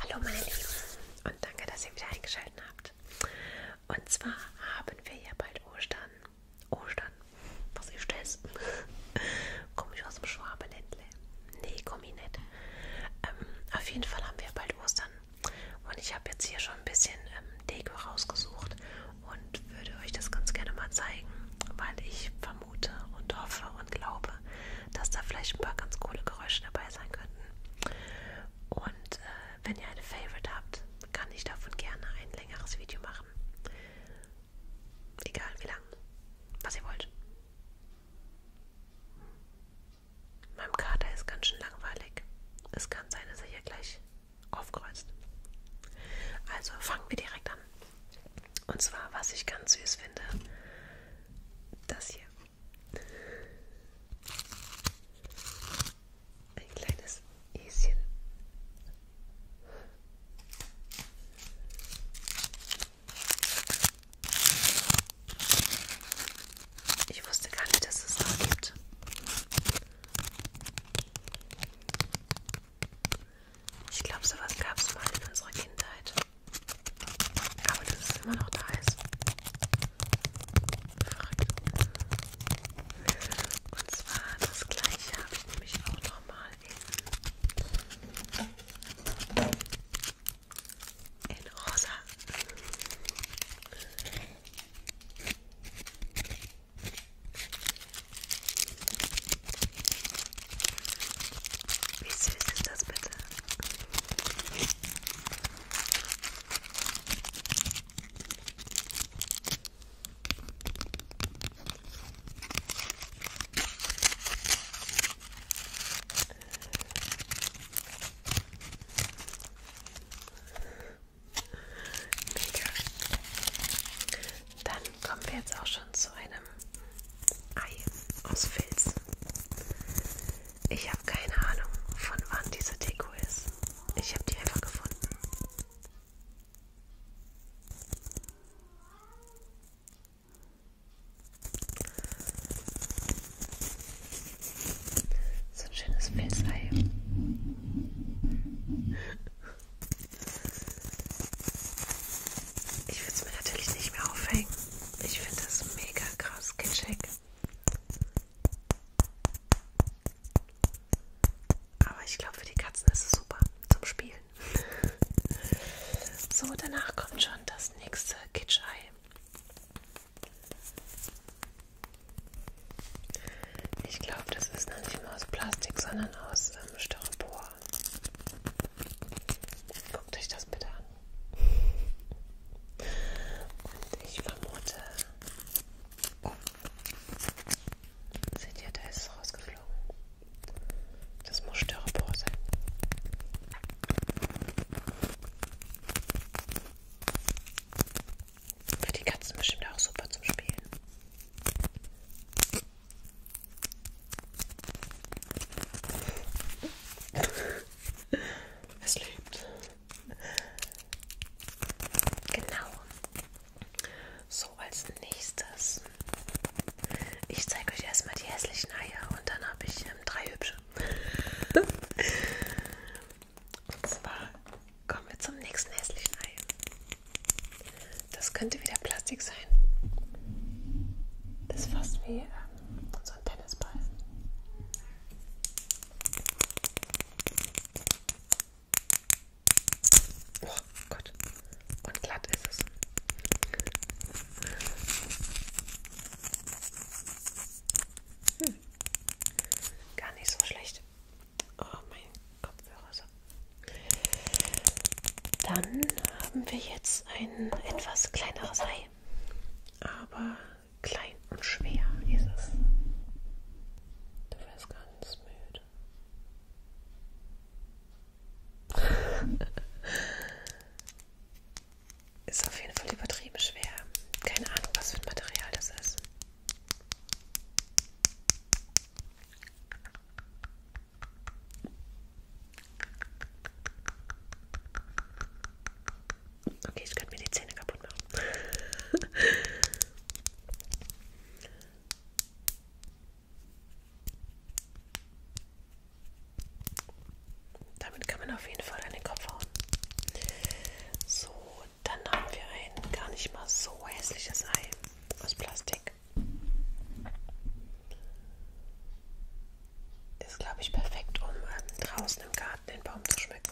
Hallo meine Lieben und danke, dass ihr wieder eingeschaltet habt. Und zwar haben wir ja bald Ostern. Ostern? Was ist das? komme ich aus dem Schwabenländle? Nee, komme ich nicht. Ähm, auf jeden Fall haben wir bald Ostern. Und ich habe jetzt hier schon ein bisschen ähm, Deko rausgesucht und würde euch das ganz gerne mal zeigen, weil ich vermisse vermute und hoffe und glaube, dass da vielleicht ein paar ganz coole Geräusche dabei sein könnten. Und äh, wenn ihr eine Favorite habt, kann ich davon gerne ein längeres Video machen. Egal wie lang, was ihr wollt. Meinem Kater ist ganz schön langweilig. Es kann sein, dass er hier gleich aufkreuzt. Also fangen wir direkt an. Und zwar, was ich ganz süß finde, das hier. Ein kleines Häschen. Ich wusste gar nicht, dass es das gibt. Ich glaube, sowas gab es mal in unserer Kindheit. Aber dass es immer noch da ist. Verrückt. Und zwar das gleiche habe ich nämlich auch nochmal in, in rosa. Wie süß ist das bitte? Mega. Dann kommen wir jetzt auch schon zu einem Ei aus Filz. Ich habe keine Ahnung, von wann diese Deko ist. Ich habe die einfach gefunden. So ein schönes Filzei. Ich würde es mir natürlich nicht mehr aufhängen. Ich finde das mega krass kitschig. Aber ich glaube, für die Katzen ist es super zum Spielen. so, danach kommt schon das nächste Kitschei. Ich glaube, das ist noch nicht mal aus Plastik, sondern aus ähm, Styropor. Guckt euch das bitte an. Und ich vermute. Oh. Seht ihr, da ist rausgeflogen. Das muss Styropor sein. Für die Katzen bestimmt auch super zum Spielen. Es lebt. Genau. So, als nächstes. Ich zeige euch erstmal die hässlichen Eier und dann habe ich ähm, drei hübsche. und zwar kommen wir zum nächsten hässlichen Ei. Das könnte wieder Plastik sein. Das ist fast wie ähm, so ein Tennisball. Oh Gott. Und glatt ist es. Hm. Gar nicht so schlecht. Oh, mein Kopfhörer ist dann haben wir jetzt ein etwas kleineres Ei, aber klein und schwer ist es. Du wirst ganz müde. ist auf jeden Fall übertrieben schwer. Keine Ahnung, was für ein Material das ist. Okay, ich könnte mir die Zähne kaputt machen. Damit kann man auf jeden Fall an den Kopf hauen. So, dann haben wir ein gar nicht mal so hässliches Ei aus Plastik. Ist, glaube ich, perfekt, um ähm, draußen im Garten den Baum zu schmücken.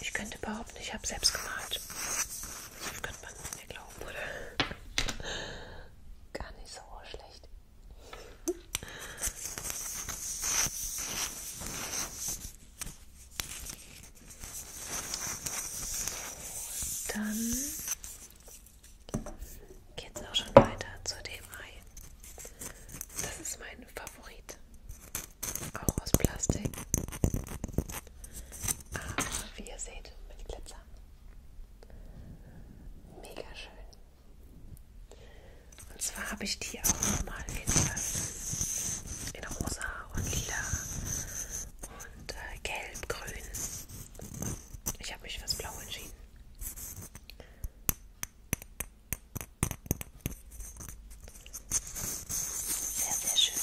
Ich könnte behaupten, ich habe selbst gemalt. Das könnte man mir glauben, oder? Gar nicht so schlecht. Dann geht's auch schon weiter zu dem Ei. Das ist mein Favorit. Auch aus Plastik. Aber ah, wie ihr seht, mit Glitzer. Mega schön. Und zwar habe ich die auch nochmal in, in rosa und lila und äh, gelb, grün. Ich habe mich fürs Blau entschieden. Sehr, sehr schön.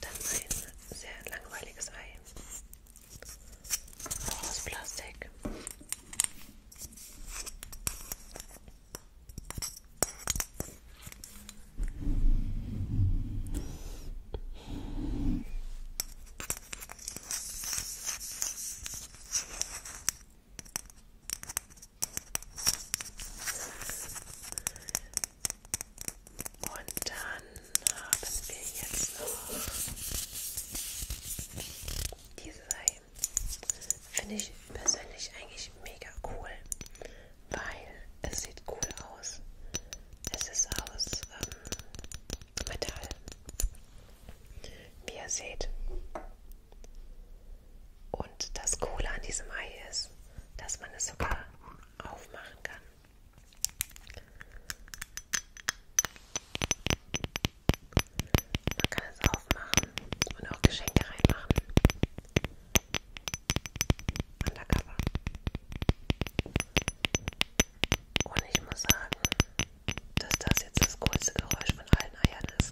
Dann ein sehr langweiliges Ei. Auch aus Plastik. Und dann haben wir jetzt noch diese Finde ich persönlich eigentlich mega cool, weil es sieht cool aus. Es ist aus ähm, Metall. Wie ihr seht. Und das Coole an diesem Ei ist, dass man es sogar aufmachen kann. Man kann es aufmachen und auch Geschenke reinmachen. Undercover. Und ich muss sagen, dass das jetzt das coolste Geräusch von allen Eiern ist.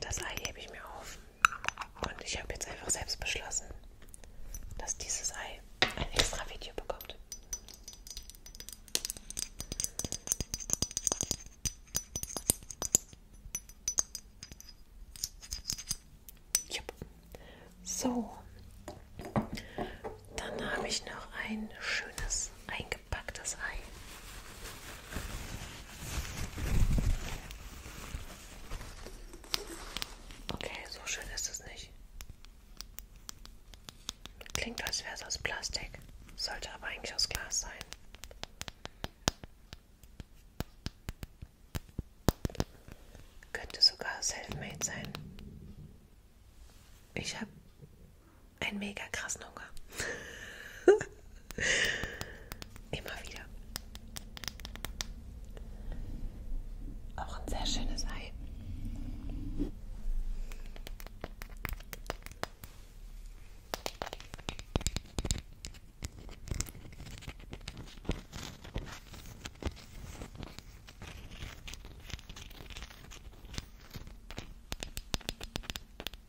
Das Ei hebe ich mir auf. Und ich habe jetzt einfach selbst beschlossen, dass dieses Ei ein extra Video bekommt. Jupp. So, dann habe ich noch ein schönes eingepacktes Ei. Okay, so schön ist es nicht. Klingt, als wäre es aus Plastik, sollte aber eigentlich aus Glas sein. Könnte sogar self-made sein. Ich habe einen mega krassen Hunger. Immer wieder. Auch ein sehr schönes Ei.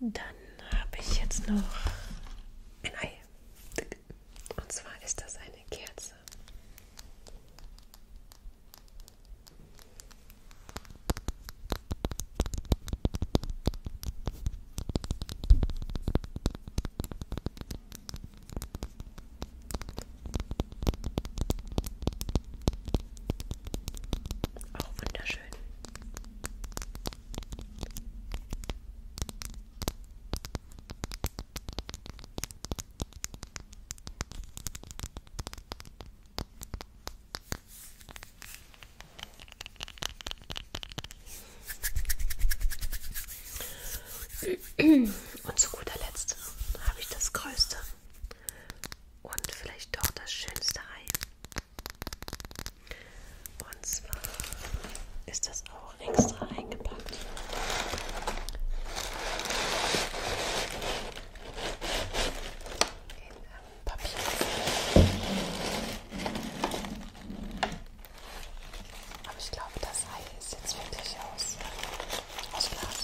Dann habe ich jetzt noch ein Ei. Und zwar ist das eine Kerze. Auch wunderschön. Und zu guter Letzt habe ich das größte und vielleicht doch das schönste Ei und zwar ist das auch extra eingepackt. In ähm, Papier. Aber ich glaube, das Ei ist jetzt wirklich aus, äh, aus Glas.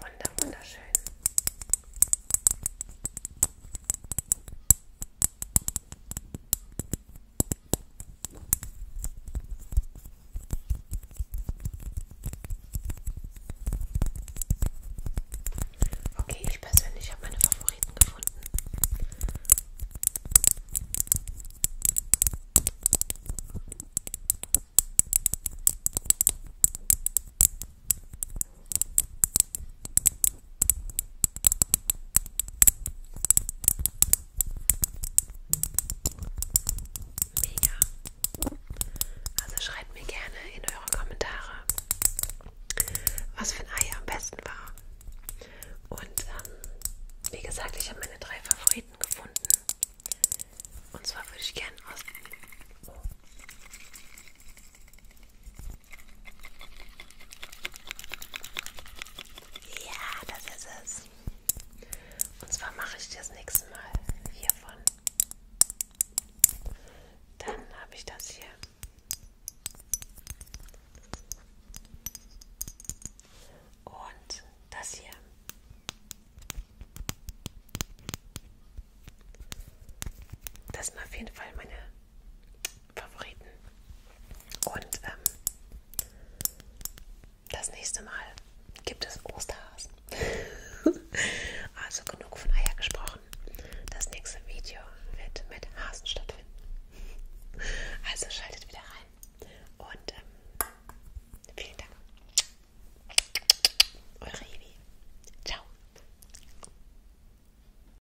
Wunder, wunderschön. Okay, ich persönlich habe meine Favoriten gefunden. Mega. Also schreibt mir gerne in eure Kommentare, was für ein Ei am besten war. Und ähm, wie gesagt, ich habe meine drei Favoriten gefunden. Und zwar würde ich gerne aus. Ja, das ist es. Und zwar mache ich das nächste Mal hiervon. Dann habe ich das hier. Und das hier. Das sind auf jeden Fall meine Favoriten. Und ähm, das nächste Mal gibt es Osterhasen. also genug von Eier gesprochen. Das nächste Video wird mit Hasen stattfinden. Also schaltet wieder rein. Und ähm, vielen Dank. Eure Evi. Ciao.